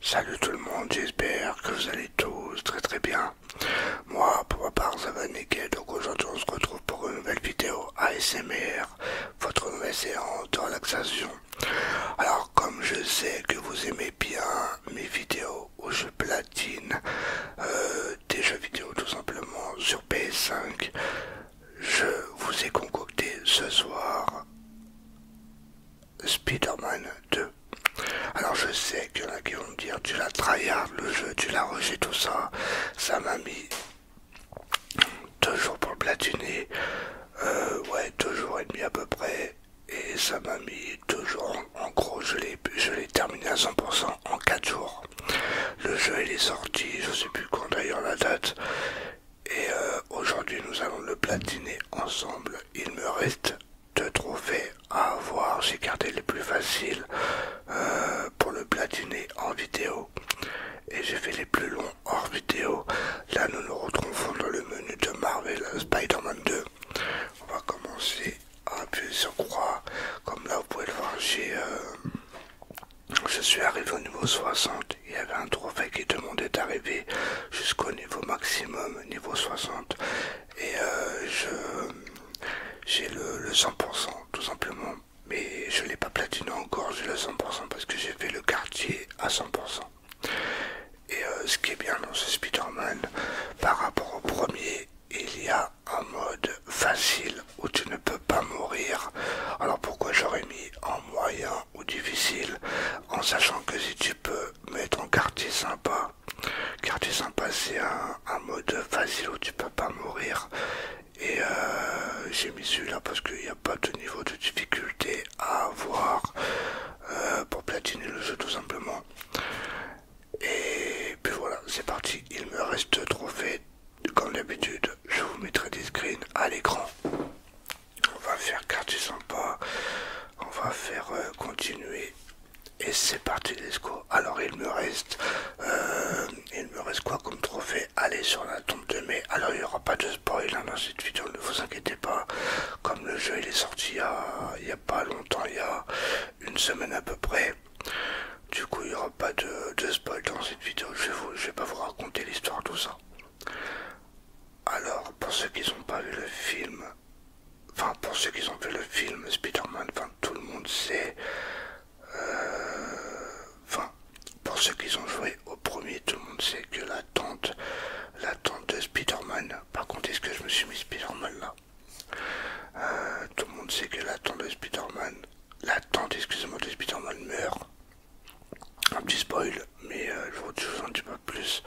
Salut tout le monde, j'espère que vous allez tous très très bien. Moi, pour ma part, ça va nickel, donc aujourd'hui on se retrouve pour une nouvelle vidéo ASMR, votre nouvelle séance de relaxation. Alors, comme je sais que vous aimez bien mes vidéos, ou je platine, euh, des jeux vidéo tout simplement sur PS5, je vous ai concocté ce soir Spider-Man 2. Alors je sais qu'il y en a qui vont me dire tu l'as tryhard le jeu, tu l'as rejeté tout ça, ça m'a mis deux jours pour le platiner, euh, ouais deux jours et demi à peu près, et ça m'a mis deux jours. En gros, je l'ai terminé à 100% en 4 jours. Le jeu il est sorti, je sais plus quand d'ailleurs la date. Et euh, aujourd'hui, nous allons le platiner ensemble. Il me reste deux trophées à avoir. J'ai gardé les plus faciles euh, pour le platiner en vidéo. Et j'ai fait les plus longs hors vidéo. Là, nous nous retrouvons dans le menu de Marvel euh, Spider-Man 2 on va commencer à appuyer sur croix. Comme là, vous pouvez le voir, euh, je suis arrivé au niveau 60. Il y avait un trophée qui demandait d'arriver jusqu'au niveau maximum, niveau 60. Et euh, j'ai le, 100%, tout simplement. Mais je l'ai pas platiné encore, j'ai le 100% parce que j'ai fait le quartier à 100%. Et euh, ce qui est bien dans ce Spider-Man, par rapport au premier, il y a un mode facile où tu ne peux pas mourir. Alors pourquoi j'aurais mis en moyen ou difficile En sachant que si tu peux mettre en quartier sympa, quartier sympa c'est un, mode facile où tu peux pas mourir. Et euh, j'ai mis celui-là parce qu'il n'y a pas de niveau de difficulté à avoir euh, pour platiner le jeu tout simplement. Et puis voilà, c'est parti. Il me reste trophée Comme d'habitude, je vous mettrai des screens à l'écran. On va faire quartier sympa. On va faire euh, continuer. Et c'est parti les scores. Alors il me reste euh, il me reste quoi comme trophée Allez sur la tombe de mai. Alors il n'y aura pas de spoil hein, dans cette vidéo, ne vous inquiétez pas comme le jeu il est sorti il y a, pas longtemps, il y a une semaine à peu près. Du coup, il n'y aura pas de, spoil dans cette vidéo. Je ne vais pas vous raconter l'histoire, tout ça. Alors, pour ceux qui n'ont pas vu le film, enfin, pour ceux qui ont vu le film Spider-Man, enfin, tout le monde sait. Euh, enfin, pour ceux qui ont joué au premier, tout le monde sait que la tante, la tante de Spider-Man, par contre, est-ce que je me suis mis Spider-Man là euh, Tout le monde sait que la tante de Spider-Man, de Spider-Man meurt. Un petit spoil, mais euh, je vous dis pas plus.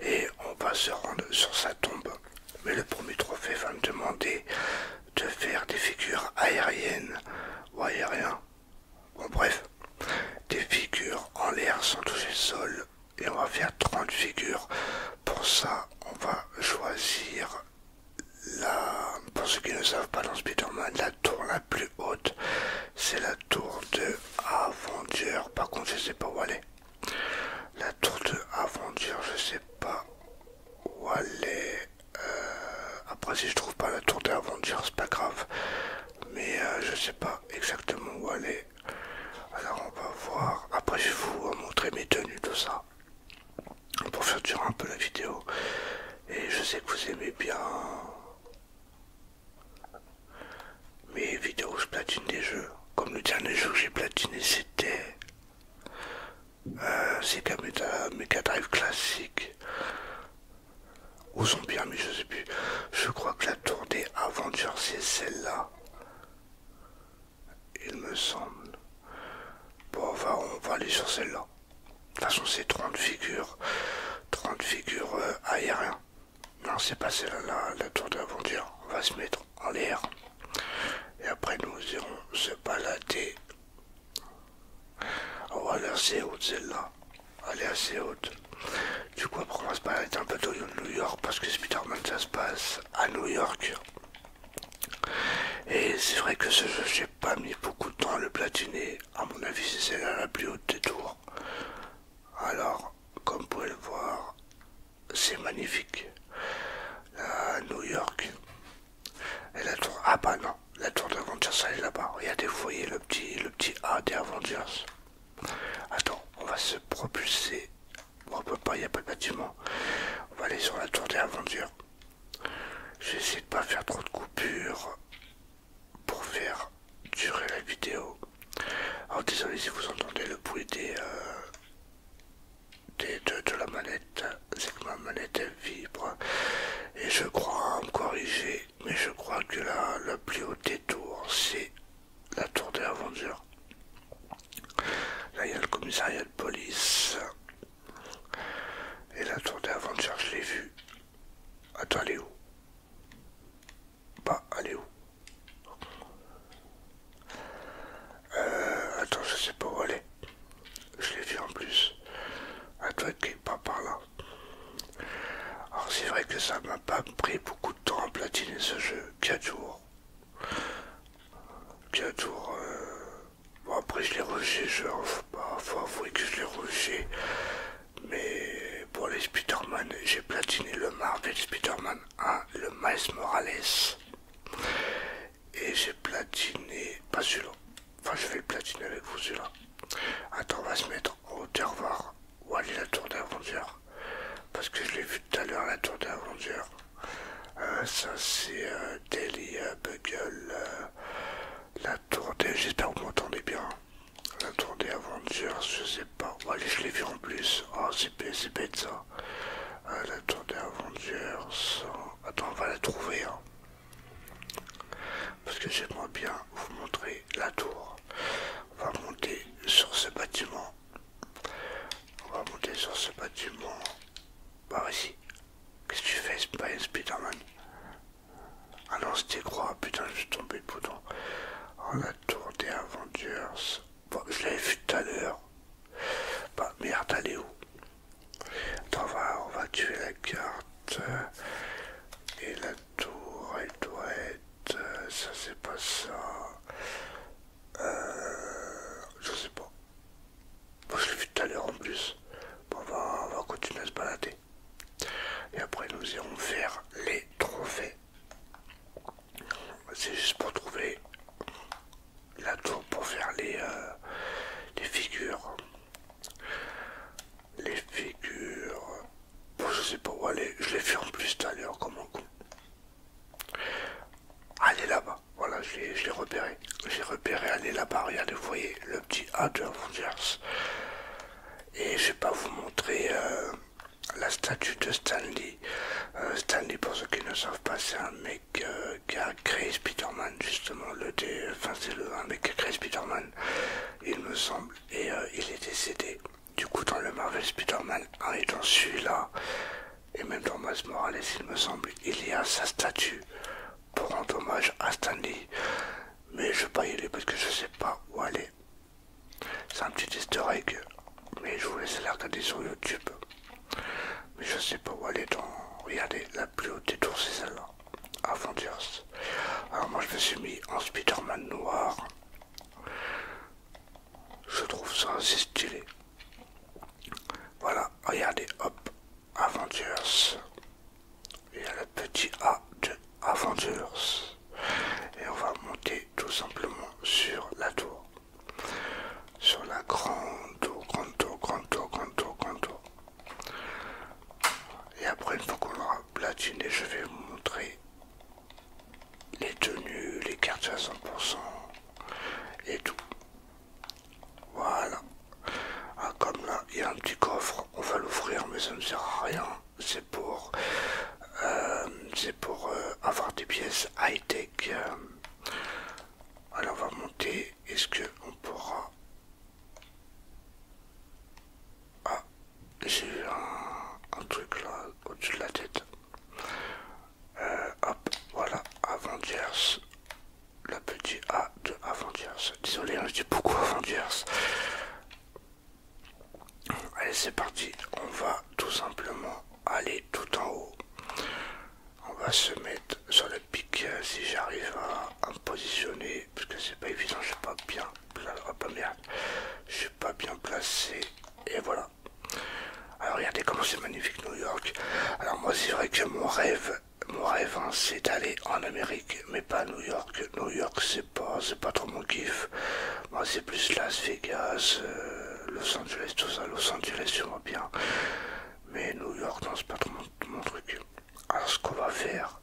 Et on va se rendre sur sa tombe. Mais le premier trophée va me demander de faire des figures aériennes ou aériennes Bon bref, des figures en l'air sans toucher le sol et on va faire 30 figures. Pour ça, on va choisir la, pour ceux qui ne savent pas dans Spider-Man, la tour la plus haute, c'est la tour de Aventure. Par contre, je sais pas où aller. La tour de Aventure, je sais pas où aller. Euh, après, si je trouve pas la tour de Aventure, c'est pas grave. Mais euh, je sais pas exactement où aller. Alors on va voir, après je vais vous montrer mes tenues, tout ça, pour faire durer un peu la vidéo. Et je sais que vous aimez bien mes vidéos, où je platine des jeux. Comme le dernier jeu que j'ai platiné, c'était euh, Sega euh, Mega Drive classique. Ou bien mais je sais plus. Je crois que la tour des aventures, c'est celle-là il me semble. Bon, on va aller sur celle-là. De toute façon, c'est 30 figures. 30 figures euh, aériens, Non, c'est pas celle-là, la tour de On va se mettre en l'air. Et après, nous irons se balader. On va aller assez haute, celle-là. Elle est assez haute. Du coup, après, on va se un peu de New York parce que Spider-Man ça se passe à New York. Et c'est vrai que ce jeu, j'ai pas mis beaucoup de temps à le platiner. À mon avis, c'est celle la plus haute des tours. Alors, comme vous pouvez le voir, c'est magnifique. La New York. Et la tour. Ah bah non, la tour d'Avengers, elle est là-bas. Regardez, vous voyez le petit, le petit A des Avengers. Attends, on va se propulser. on peut pas, il n'y a pas de bâtiment. On va aller sur la tour des aventures. J'essaie de pas faire trop de coupures pour faire durer la vidéo. Alors désolé si vous entendez le bruit des, euh, de, la manette. C'est que ma manette elle vibre. Et je crois me corriger, mais je crois que là, le plus haut détour, c'est la tour des Aventures Là, il y a le commissariat de police. Et la tour des Aventures, je l'ai vue. Attends, elle est où Bah, elle est où euh, Attends, je sais pas où elle est. Je l'ai vu en plus. Elle qui pas par là. Alors, c'est vrai que ça m'a pas pris beaucoup de temps à platiner ce jeu. 4 jours tour, euh, bon après je l'ai rushé, je... vais bah, faut avouer que je l'ai rushé. Mais pour les Spiderman, j'ai platiné le Marvel Spiderman man 1, le Miles Morales. Et j'ai platiné, pas celui-là. Enfin, je vais le platiner avec vous celui-là. Attends, on va se mettre en hauteur Ou aller la tour d'Aventure. Parce que je l'ai vu tout à l'heure, la tour des euh, ça c'est euh, Delhi Daily euh, Bugle, la tour des... J'espère que vous m'entendez bien. La tour des aventures, je sais pas. Allez je l'ai vu en plus. Oh, c'est bête ça. la tour des aventures. Attends, on va la trouver. Hein. Parce que j'aimerais bien vous montrer la tour. On va monter sur ce bâtiment. On va monter sur ce bâtiment vas-y, Qu'est-ce que tu fais, Spider-Man Ah non, c'était quoi putain, je suis tombé le bouton. On a tour des Avengers. Bon, je l'avais vu tout à l'heure. Bah merde, elle est où Attends, on va tuer la carte. Et la tour, elle doit être... Euh, ça c'est pas ça. Euh, je sais pas. Bon, je l'ai vu tout à l'heure en plus. on va, on va continuer à se balader. Et après, nous irons faire les trophées. C'est juste pour trouver la tour pour faire les, euh, les figures. Les figures. Bon, je sais pas où aller. Je l'ai fait en plus tout à l'heure comme un con. Allez ah, là-bas, voilà, je l'ai repéré. J'ai repéré, allez là-bas, regardez, vous voyez le petit A de Avengers. Et je vais pas vous montrer euh, la statue de Stanley. Euh, Stanley, pour ceux qui ne savent pas, c'est un mec euh, qui a justement. Le Enfin, c'est un mec qui a il me semble. Et il est décédé du coup, dans le Marvel Spider-Man 1 et dans celui-là, et même dans Miles Morales, il me semble, il y a sa statue pour rendre hommage à Stanley. Mais je vais pas y aller parce que je sais pas où aller. C'est un petit easter egg, mais je vous laisse la regarder sur YouTube. Mais je sais pas où aller dans. Regardez, la plus haute des tours, c'est celle-là. Avengers. Alors moi je me suis mis en Spider-Man noir. Je trouve ça assez stylé. Voilà, regardez, hop, Avengers. Il y a le petit A de Avengers. Et on va monter tout simplement sur la tour. Sur la grande tour, grande tour, grande tour, grande tour, grande tour. Et après, une fois qu'on aura platiné, je vais vous montrer les tenues, les cartes à 100% et tout. Voilà. Ah, comme là, il y a un petit coffre, on va l'ouvrir, mais ça ne sert à rien. C'est pour, euh, c'est pour euh, avoir des pièces high-tech. Alors, on va monter. Est-ce qu'on pourra... Ah, j'ai un truc là au-dessus de la tête. Euh, hop, voilà, Avengers, la petite A de Avengers. Désolé, hein, je dis beaucoup Avengers. Allez, c'est parti. On va tout simplement aller tout en haut. On va se mettre sur le pic euh, si j'arrive à, me positionner. Parce que c'est pas évident, je suis pas bien. Oh, je suis pas bien placé. Et voilà. Alors regardez comment c'est magnifique New York. Alors moi c'est vrai que mon rêve, mon rêve hein, c'est d'aller en Amérique, mais pas New York. New York c'est pas, c'est pas trop mon kiff. Moi c'est plus Las Vegas, euh, Los Angeles, tout ça. Los Angeles vois bien. Mais New York non c'est pas trop mon, mon truc. Alors ce qu'on va faire,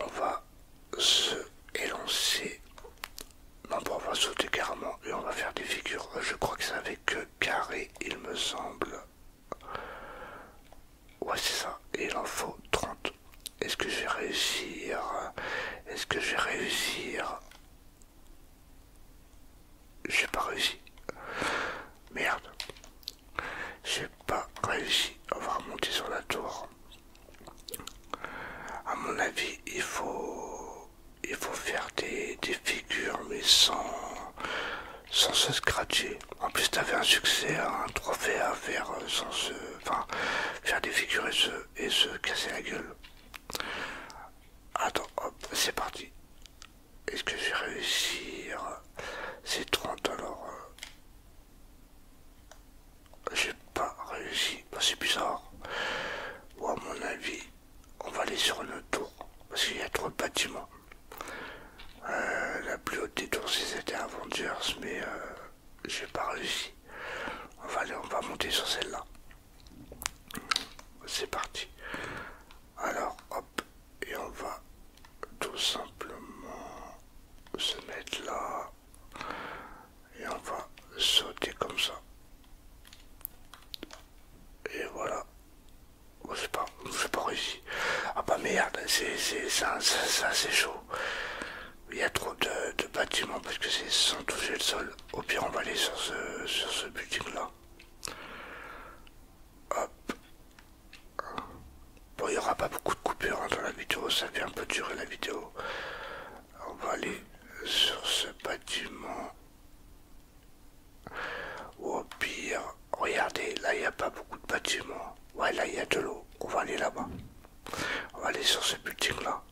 on va se élancer non, bon, on va sauter carrément et on va faire des figures. Je crois que c'est avec euh, carré, il me semble. Ouais, c'est ça. Et il en faut 30. Est-ce que je vais réussir Est-ce que je vais réussir J'ai pas réussi. Merde. J'ai pas réussi. à va remonter sur la tour à mon avis il faut il faut faire des, figures mais sans se scratcher en plus t'avais un succès un trophée à faire euh, sans se faire des figures et se, casser la gueule attends hop c'est parti est ce que je vais réussir c'est 30 alors euh j'ai pas réussi. Bah, c'est bizarre. Bon, à mon avis, on va aller sur le tour. Parce qu'il y a bâtiments. Euh, la plus haute des tours, c'était Avengers, mais euh, j'ai pas réussi. On va aller, on va monter sur celle-là. C'est parti. Alors, hop, et on va tout simplement se mettre là et on va sauter comme ça et voilà je sais pas sais pas réussi ah bah merde c'est ça c'est chaud il y a trop de, bâtiments parce que c'est sans toucher le sol au pire on va aller sur ce sur ce building là bon il y aura pas beaucoup de coupures hein, dans la vidéo ça fait un peu durer la vidéo on va aller sur ce bâtiment. Ou au pire, regardez, là il n'y a pas beaucoup de bâtiments. Ouais, là il y a de l'eau. On va aller là-bas. On va aller sur ce building-là.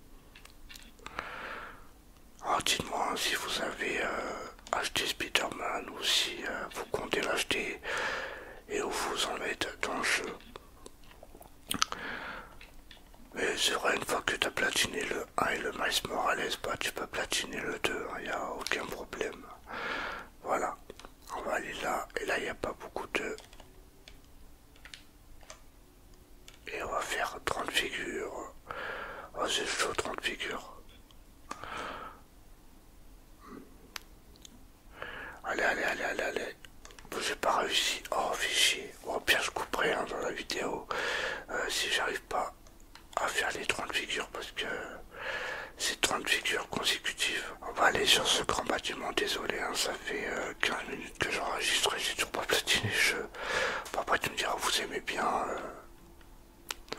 Alors dites-moi si vous avez euh, acheté Spider-Man ou si euh, vous comptez l'acheter et où vous en êtes dans le jeu. Mais c'est vrai, une fois que tu as platiné le 1 et le maïs Morales, pas, bah, tu peux platiner le 2, il n'y a aucun problème. Voilà, on va aller là, et là il n'y a pas beaucoup de... Et on va faire 30 figures. Oh, c'est chaud, 30 figures. Allez, allez, allez, allez, allez j'ai pas réussi. Oh, fichier. oh bien je couperai hein, dans la vidéo euh, si j'arrive pas à faire les 30 figures parce que c'est 30 figures consécutives. On va aller sur ce grand bâtiment. Désolé, hein, ça fait 15 euh, minutes que j'enregistre et j'ai toujours pas platiné le jeu. Après, tu me diras, vous aimez bien. Euh,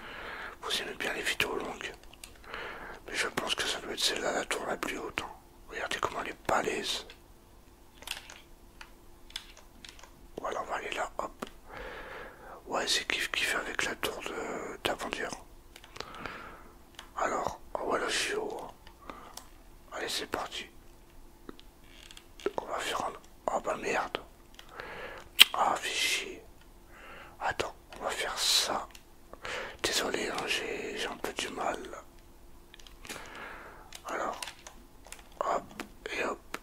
vous aimez bien les vidéos longues. Mais je pense que ça doit être celle-là, la tour la plus haute. Hein. Regardez comment elle est voilà, on va aller là, hop. Ouais, c'est kiff fait avec la tour de hier Alors, voilà, je Allez, c'est parti. On va faire un... Oh bah merde. Ah, chier Attends, on va faire ça. Désolé, hein, j'ai un peu du mal alors, hop et hop.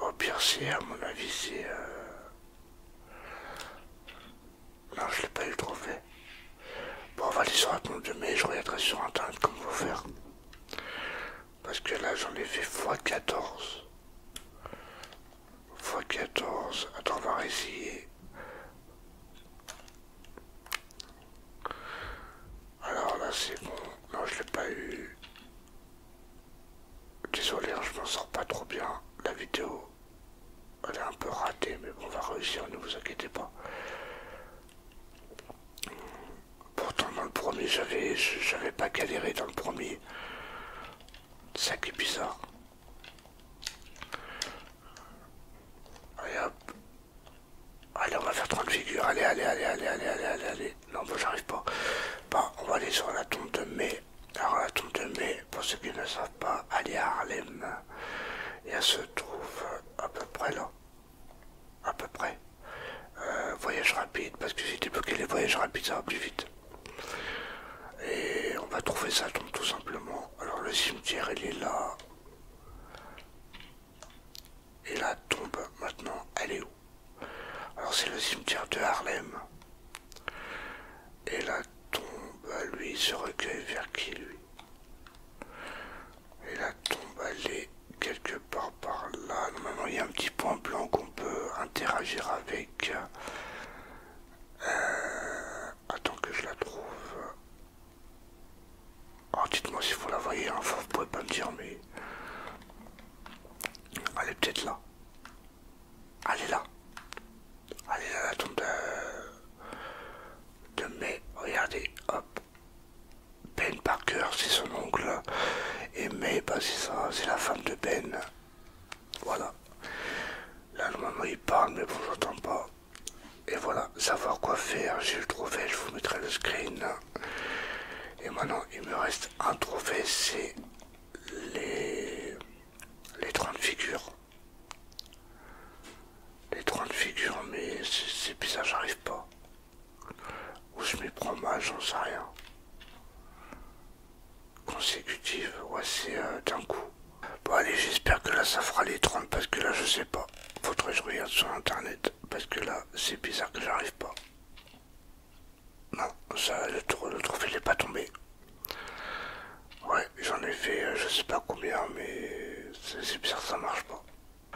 Au pire, c'est à mon avis, c'est. Euh, non, je l'ai pas eu trop fait. Bon, on va aller sur la tombe de mai, je regarderai sur internet comme vous faire. Parce que là, j'en ai fait x14. x14. Attends, on va réessayer. Alors là c'est bon. Non je l'ai pas eu. Désolé, hein, je m'en sors pas trop bien. La vidéo, elle est un peu ratée, mais on va réussir, ne vous inquiétez pas. Pourtant dans le premier, j'avais j'avais pas galéré dans le premier. Ça qui est bizarre. Allez, on va faire 30 figures. Allez, allez, allez, allez, allez, allez, allez, allez. Non, moi, j'arrive pas. Bah, on va aller sur la tombe de mai. Alors, la tombe de mai, pour ceux qui ne savent pas, aller à Harlem. Et elle se trouve euh, à peu près là. À peu près. Euh, voyage rapide, parce que j'ai débloqué les voyages rapides, ça va plus vite. Et on va trouver sa tombe tout simplement. Alors, le cimetière, il est là. Et la tombe maintenant, elle est où Alors c'est le cimetière de Harlem. Et la tombe, lui, se recueille vers qui lui Et la tombe, elle est quelque part par là. Normalement, il y a un petit point blanc qu'on peut interagir avec. Euh, attends que je la trouve. Alors oh, dites-moi si vous la voyez, enfin, vous pouvez pas me dire, mais elle est peut-être là. Elle est là. Elle est là, la tombe de, de Regardez, hop. Ben Parker, c'est son oncle. Et mais bah, c'est ça, c'est la femme de Ben. Voilà. Là, normalement, il parle, mais bon j'entends pas. Et voilà, savoir quoi faire, j'ai le trophée, je vous mettrai le screen. Et maintenant, il me reste un trophée, c'est les... les 30 figures. Les 30 figures, mais c'est bizarre, j'arrive pas. Ou je m'y prends mal, j'en sais rien. Consécutive, ouais, c'est euh, d'un coup. Bon allez, j'espère que là ça fera les 30 parce que là je sais pas. Faut Faudrait que je regarde sur internet parce que là c'est bizarre que j'arrive pas. Non, ça le, le trophée n'est pas tombé. Ouais, j'en ai fait euh, je sais pas combien, mais c'est bizarre ça marche pas.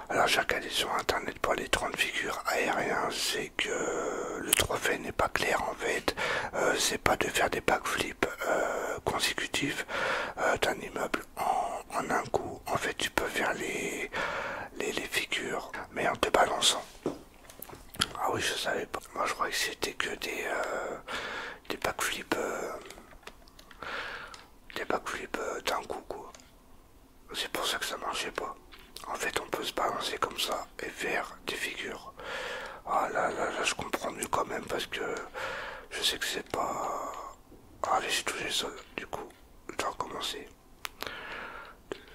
Alors j'ai regardé sur internet pour les 30 figures aériennes, c'est que euh, le trophée n'est pas clair en fait. Euh, c'est pas de faire des backflips consécutifs d'un immeuble en, un coup. En fait, tu peux faire les, les, figures, mais en te balançant. Ah oui, je savais pas. Moi, je croyais que c'était que des, euh, des backflips. Euh, des backflips euh, d'un coup, C'est pour ça que ça marchait pas. En fait, on peut se balancer comme ça et faire des figures. Ah là là là, je comprends mieux quand même parce que je sais que c'est pas Allez, j'ai touché le sol, du coup, je dois recommencer.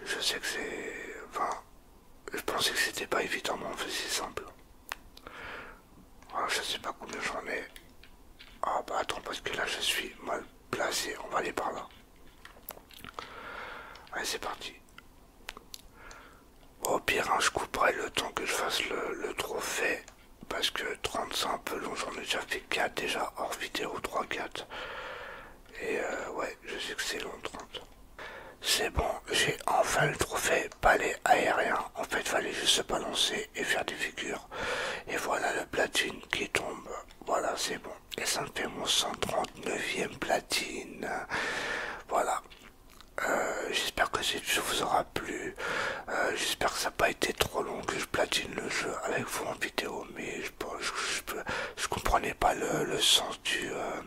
Je sais que c'est. Enfin, je pensais que c'était pas évident, mais en fait, c'est simple. Ah, je sais pas combien j'en ai. Ah, bah attends, parce que là, je suis mal placé. On va aller par là. Allez, c'est parti. Au pire, hein, je couperai le temps que je fasse le trophée parce que 30 c'est un peu long, j'en ai déjà fait 4 déjà hors vidéo 3-4. Et euh, ouais, je sais que c'est long 30. C'est bon, j'ai enfin le trophée palais aérien. En fait, fallait juste se balancer et faire des figures. Et voilà le platine qui tombe. Voilà, c'est bon. Et ça me fait mon 139e platine. Voilà. Euh, j'espère que cette vidéo vous aura plu. Euh, j'espère que ça n'a pas été trop long que je platine le jeu avec vous en vidéo, mais je, je, comprenais pas le, sens euh,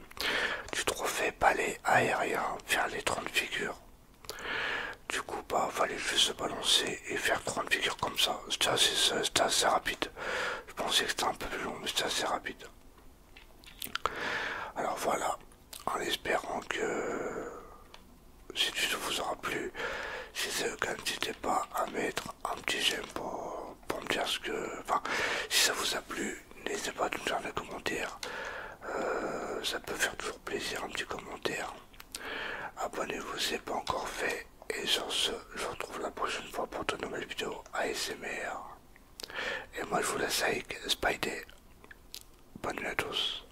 du, trophée palais aérien faire les 30 figures. Du coup, bah, fallait juste se balancer et faire 30 figures comme ça. C'était assez rapide. Je pensais que c'était un peu plus long, mais c'était assez rapide. Alors voilà, en espérant que si ça vous aura plu. Si c'est le cas, n'hésitez pas à mettre un petit j'aime pour, me dire ce que. Enfin, si ça vous a plu, n'hésitez pas à nous faire des commentaires. Euh, ça peut faire toujours plaisir un petit commentaire. Abonnez-vous si ce n'est pas encore fait. Et sur ce, je vous retrouve la prochaine fois pour de nouvelles vidéos ASMR. Et moi je vous laisse avec Spidey. Bonne nuit à tous.